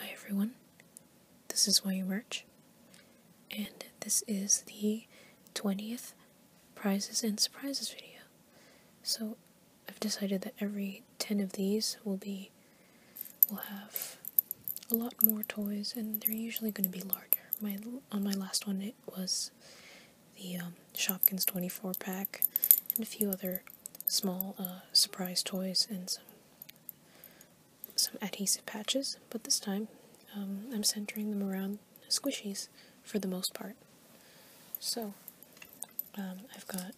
Hi everyone, this is Why You Birch, and this is the 20th Prizes and Surprises video. So I've decided that every 10 of these will be, will have a lot more toys, and they're usually going to be larger. My On my last one it was the um, Shopkins 24 pack, and a few other small uh, surprise toys and some some adhesive patches, but this time um, I'm centering them around squishies for the most part. So um, I've got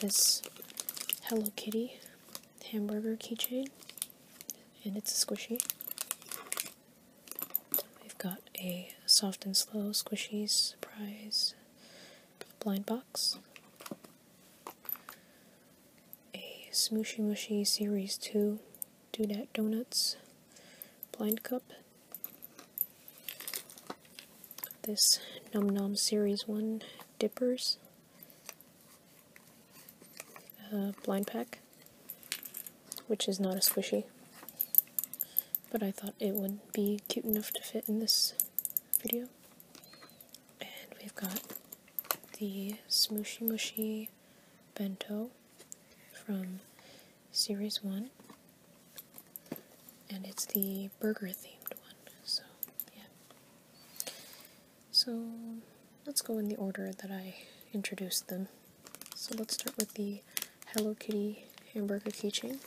this Hello Kitty hamburger keychain, and it's a squishy. We've got a soft and slow squishies surprise blind box a Smooshy Mushy Series 2 Do That Donuts blind cup. This Num nom Series 1 Dippers blind pack, which is not a squishy, but I thought it would be cute enough to fit in this video. And we've got the Smooshy Mushy Bento from Series 1. And it's the burger themed one, so yeah. So let's go in the order that I introduced them. So let's start with the Hello Kitty hamburger keychain.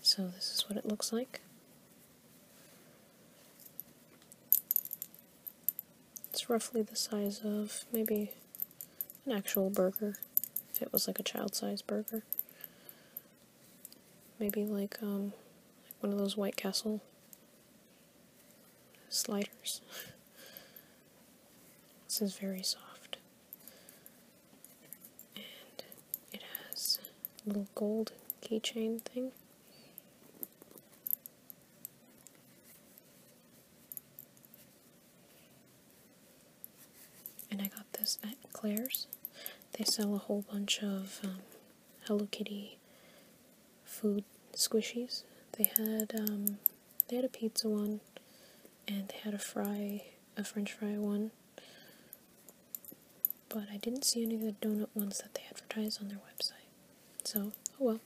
So this is what it looks like. It's roughly the size of maybe an actual burger, if it was like a child-sized burger. Maybe like, um, one of those White Castle sliders. This is very soft. And it has a little gold keychain thing. And I got this at Claire's. They sell a whole bunch of um, Hello Kitty food squishies. They had um, they had a pizza one, and they had a fry, a French fry one. But I didn't see any of the donut ones that they advertised on their website. So, oh well.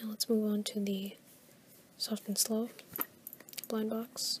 Now let's move on to the soft and slow blind box.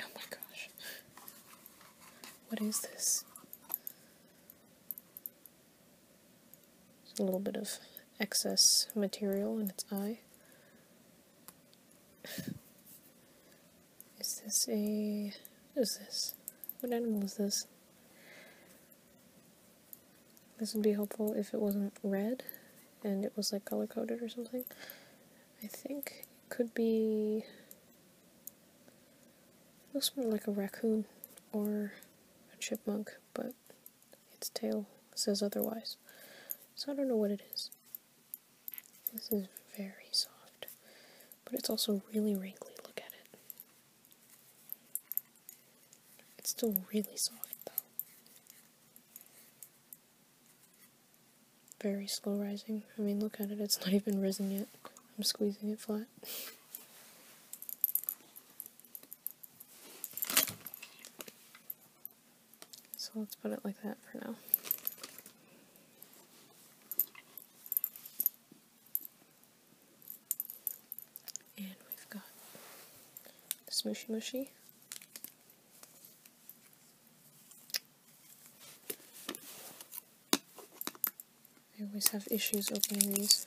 Oh my gosh. What is this? a little bit of excess material in its eye. is this a... what is this? What animal is this? This would be helpful if it wasn't red and it was like color coded or something. I think. It could be... looks more like a raccoon or a chipmunk, but its tail says otherwise. So I don't know what it is. This is very soft, but it's also really wrinkly. Look at it. It's still really soft, though very slow rising. I mean, look at it, it's not even risen yet. I'm squeezing it flat. so let's put it like that for now. And we've got the smooshy mushy. I always have issues opening these.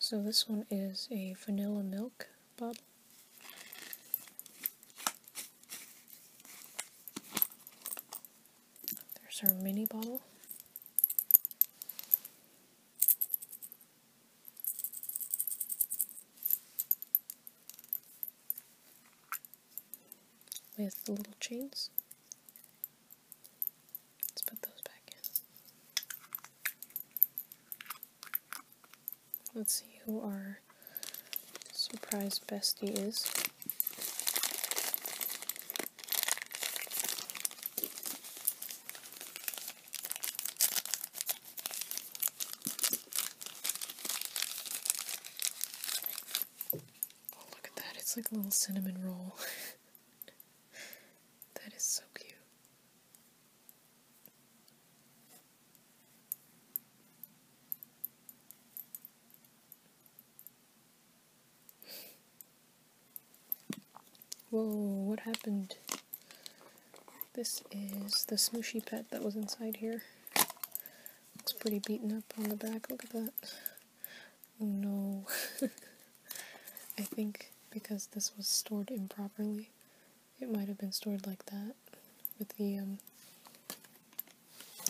So this one is a vanilla milk bottle. There's our mini bottle. With the little chains. Let's put those back in. Let's see who our surprise bestie is. Oh, look at that. It's like a little cinnamon roll. that is so cute. Whoa, what happened? This is the smooshy pet that was inside here. It's pretty beaten up on the back, look at that. Oh no. I think because this was stored improperly, it might have been stored like that with the um,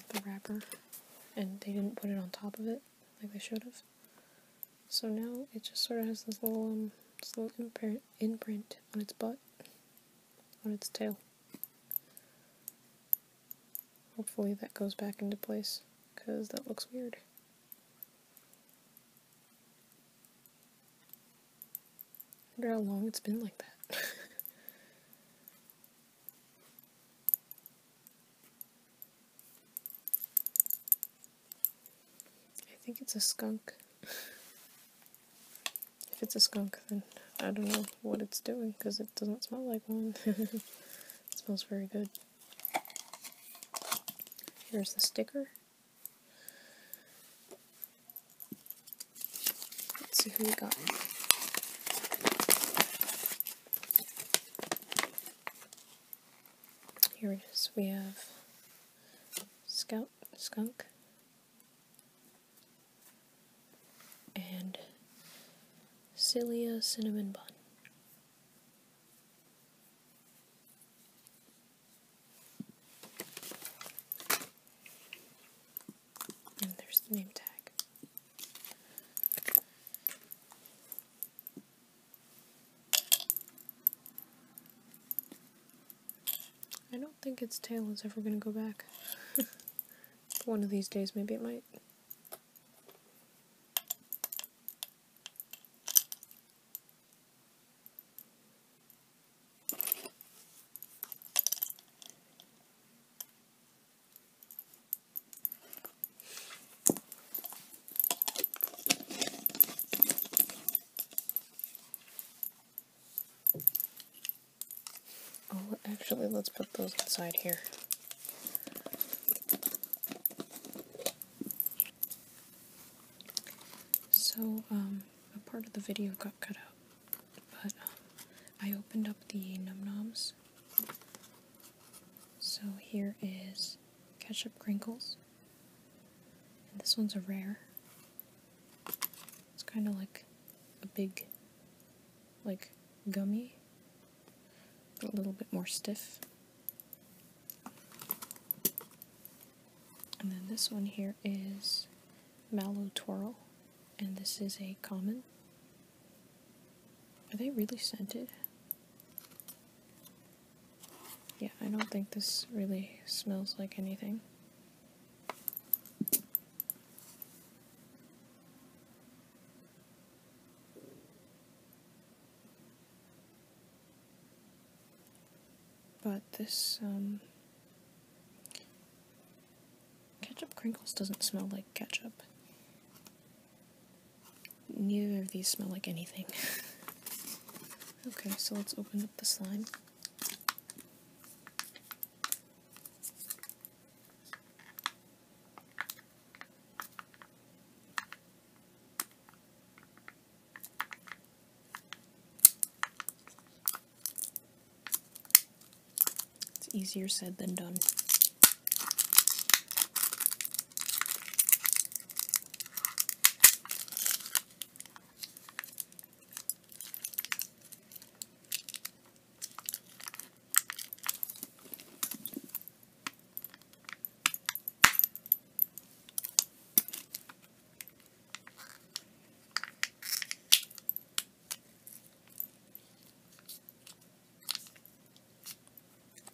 the wrapper, and they didn't put it on top of it like they should have. So now it just sort of has this little um, little imprint on its butt, on its tail. Hopefully that goes back into place, because that looks weird. I wonder how long it's been like that. I think it's a skunk. if it's a skunk, then I don't know what it's doing because it doesn't smell like one. it smells very good. Here's the sticker. Let's see who we got. Here it is. We have Scout, Skunk, and Cilia Cinnamon Bun. And there's the name tag. I don't think its tail is ever going to go back. One of these days, maybe it might. Oh, actually, let's put those inside here. So, um, a part of the video got cut up. But uh, I opened up the Num Noms. So here is ketchup crinkles. And this one's a rare. It's kind of like a big, like gummy, a little bit more stiff. And then this one here is Mallow Twirl and this is a common. Are they really scented? Yeah, I don't think this really smells like anything. But this, um, Ketchup Crinkles doesn't smell like ketchup. Neither of these smell like anything. okay, so let's open up the slime. It's easier said than done.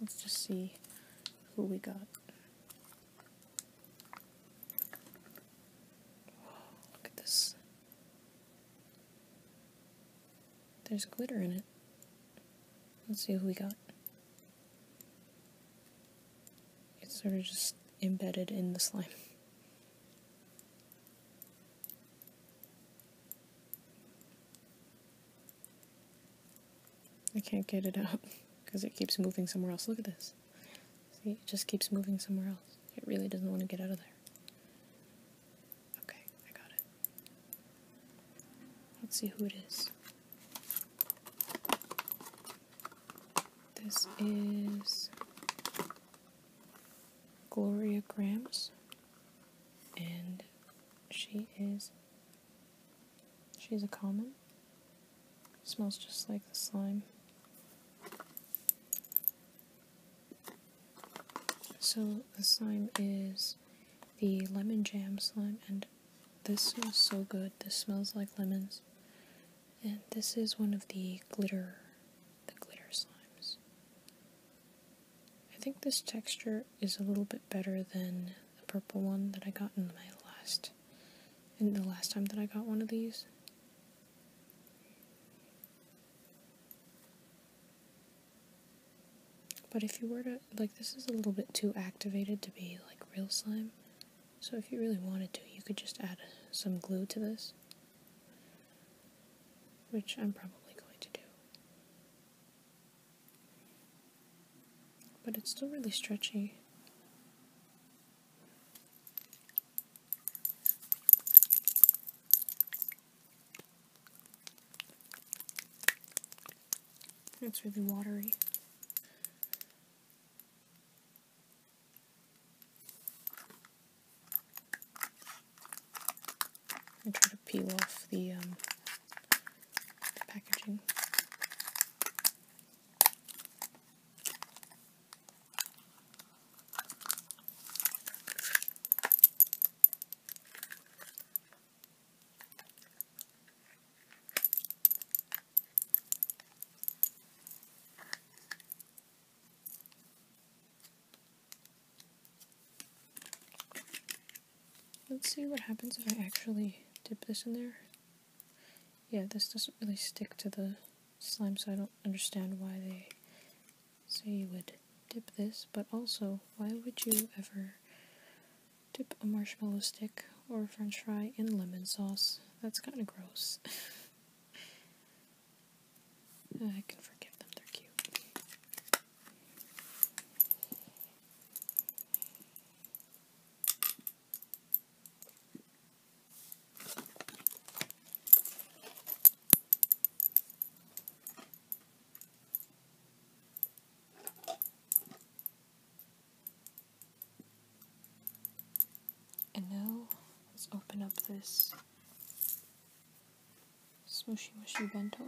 Let's just see who we got. Look at this. There's glitter in it. Let's see who we got. It's sort of just embedded in the slime. I can't get it out because it keeps moving somewhere else. Look at this. See, it just keeps moving somewhere else. It really doesn't want to get out of there. Okay, I got it. Let's see who it is. This is Gloria Grams, and she is she's a common. Smells just like the slime. So the slime is the lemon jam slime, and this is so good. This smells like lemons, and this is one of the glitter the glitter slimes. I think this texture is a little bit better than the purple one that I got in my last in the last time that I got one of these. But if you were to, like, this is a little bit too activated to be, like, real slime. So if you really wanted to, you could just add some glue to this which I'm probably going to do. But it's still really stretchy. It's really watery. I try to peel off the, um, the packaging. Let's see what happens if I actually dip this in there. Yeah, this doesn't really stick to the slime, so I don't understand why they say you would dip this, but also, why would you ever dip a marshmallow stick or a french fry in lemon sauce? That's kind of gross. Uh, I can forgive them, they're cute. And now let's open up this Smooshy Mushy Bento.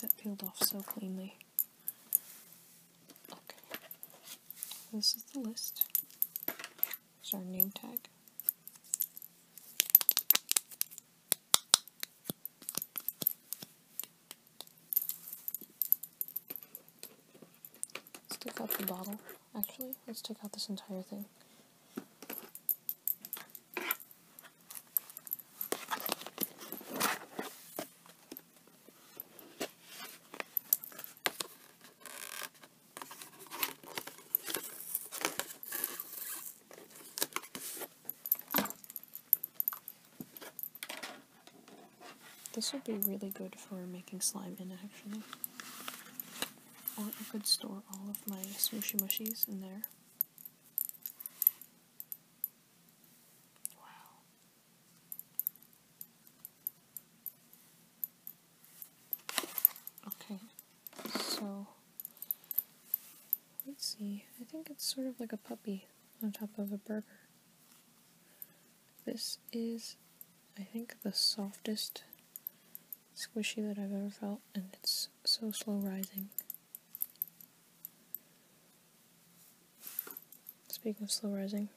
That peeled off so cleanly. Okay. This is the list. It's our name tag. Stick out the bottle. Actually, let's take out this entire thing. This would be really good for making slime in, actually. Or oh, I could store all of my smushy mushies in there. Wow. Okay, so let's see. I think it's sort of like a puppy on top of a burger. This is, I think, the softest squishy that I've ever felt, and it's so slow rising. Speaking of slow rising,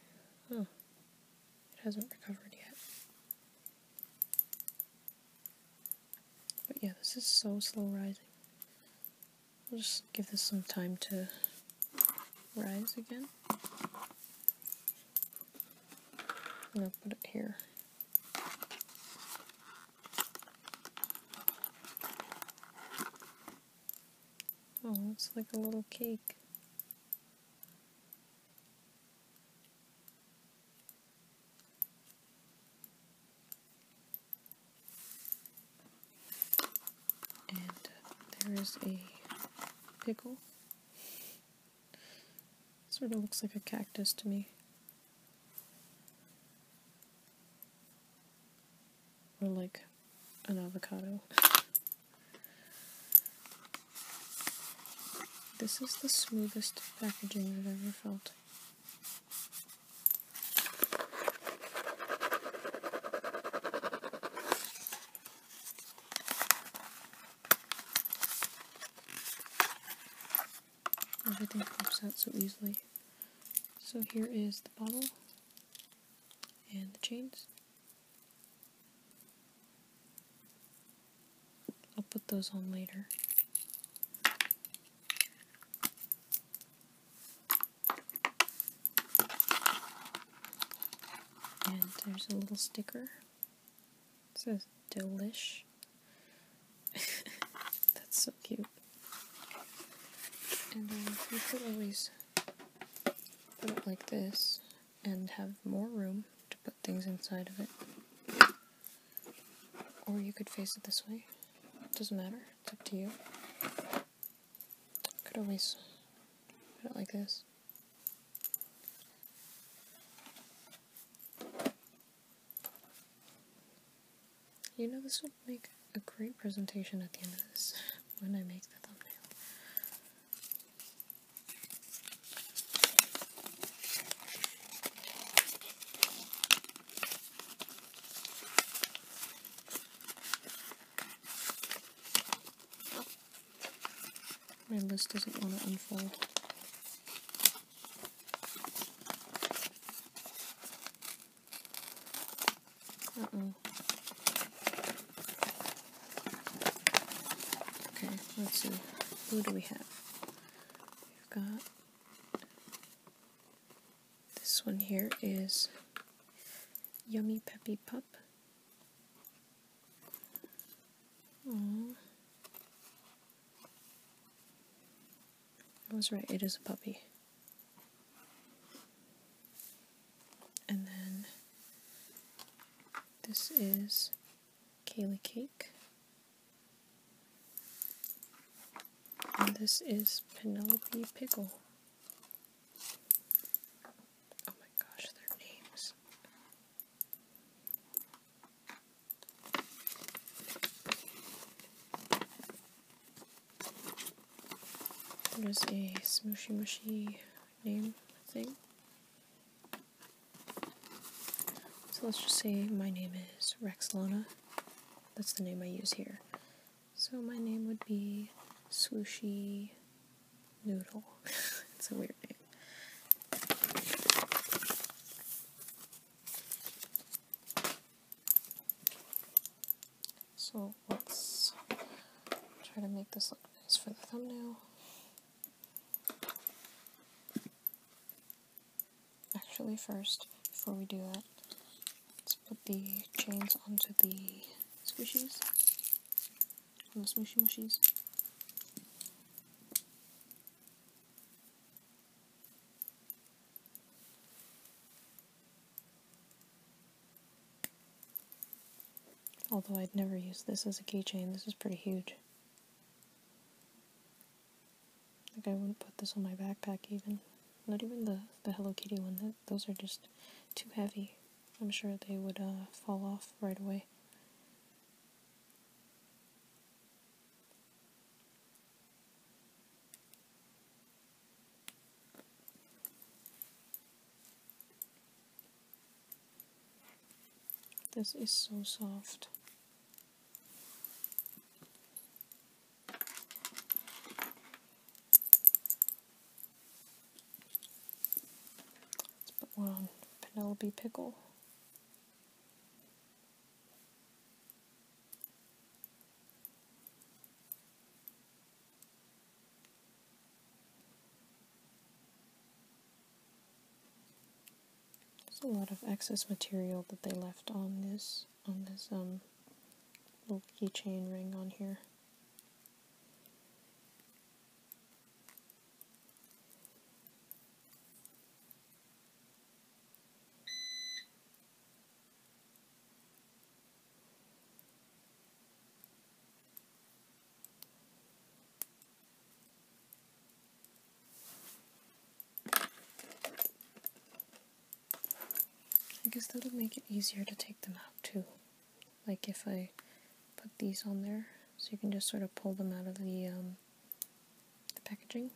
oh, it hasn't recovered yet. But yeah, this is so slow rising. I'll just give this some time to rise again. I'm going to put it here. Oh, it's like a little cake. And there is a pickle. Sort of looks like a cactus to me. Or like an avocado. This is the smoothest packaging I've ever felt. Everything pops out so easily. So here is the bottle and the chains. I'll put those on later. And there's a little sticker it says delish. That's so cute. And then you could always put it like this and have more room to put things inside of it. Or you could face it this way. doesn't matter. It's up to you. Could always put it like this. You know, this would make a great presentation at the end of this when I make the thumbnail. My list doesn't want to unfold. Uh-oh. Okay, let's see. Who do we have? We've got... This one here is Yummy Peppy Pup. Mm. Aww. I was right, it is a puppy. And then this is Kaylee Cake. And this is Penelope Pickle. Oh my gosh, their names. There's a smooshy mushy name thing. So let's just say my name is Rex Lona. That's the name I use here. So my name would be Swooshy noodle. it's a weird name. So let's try to make this look nice for the thumbnail. Actually first, before we do that, let's put the chains onto the squishies. Little smooshy mushies. Although I'd never use this as a keychain, this is pretty huge. Like I wouldn't put this on my backpack even. Not even the, the Hello Kitty one. those are just too heavy. I'm sure they would uh, fall off right away. This is so soft. Let's put one on Penelope Pickle. There's a lot of excess material that they left on this on this um, little keychain ring on here. I guess that'll make it easier to take them out too. Like if I put these on there, so you can just sort of pull them out of the um, the packaging.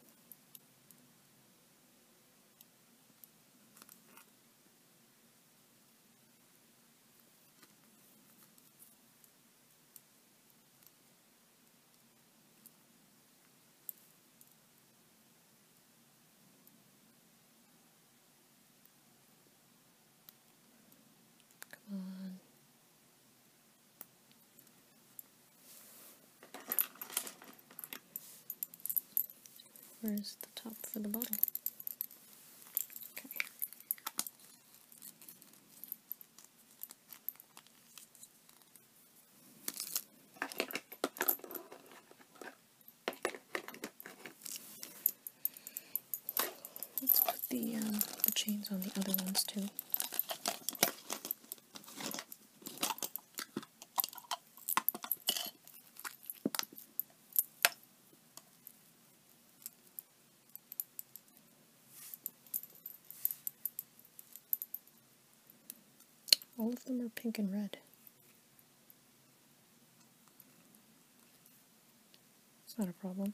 Come on. Where's the top for the bottle? Okay. Let's put um, the, chains on the other ones too. All of them are pink and red. It's not a problem.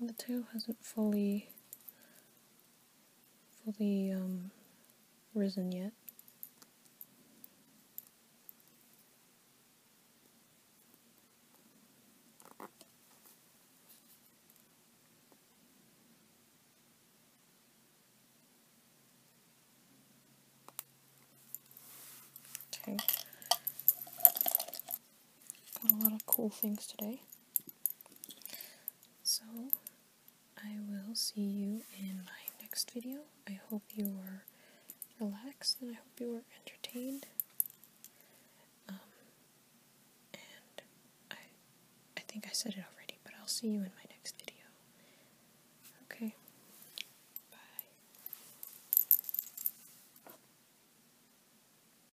the tail hasn't fully fully um, risen yet. Okay. Got a lot of cool things today. So, I will see you in my next video. I hope you were relaxed and I hope you were entertained. Um, and I, I think I said it already, but I'll see you in my next video. Okay.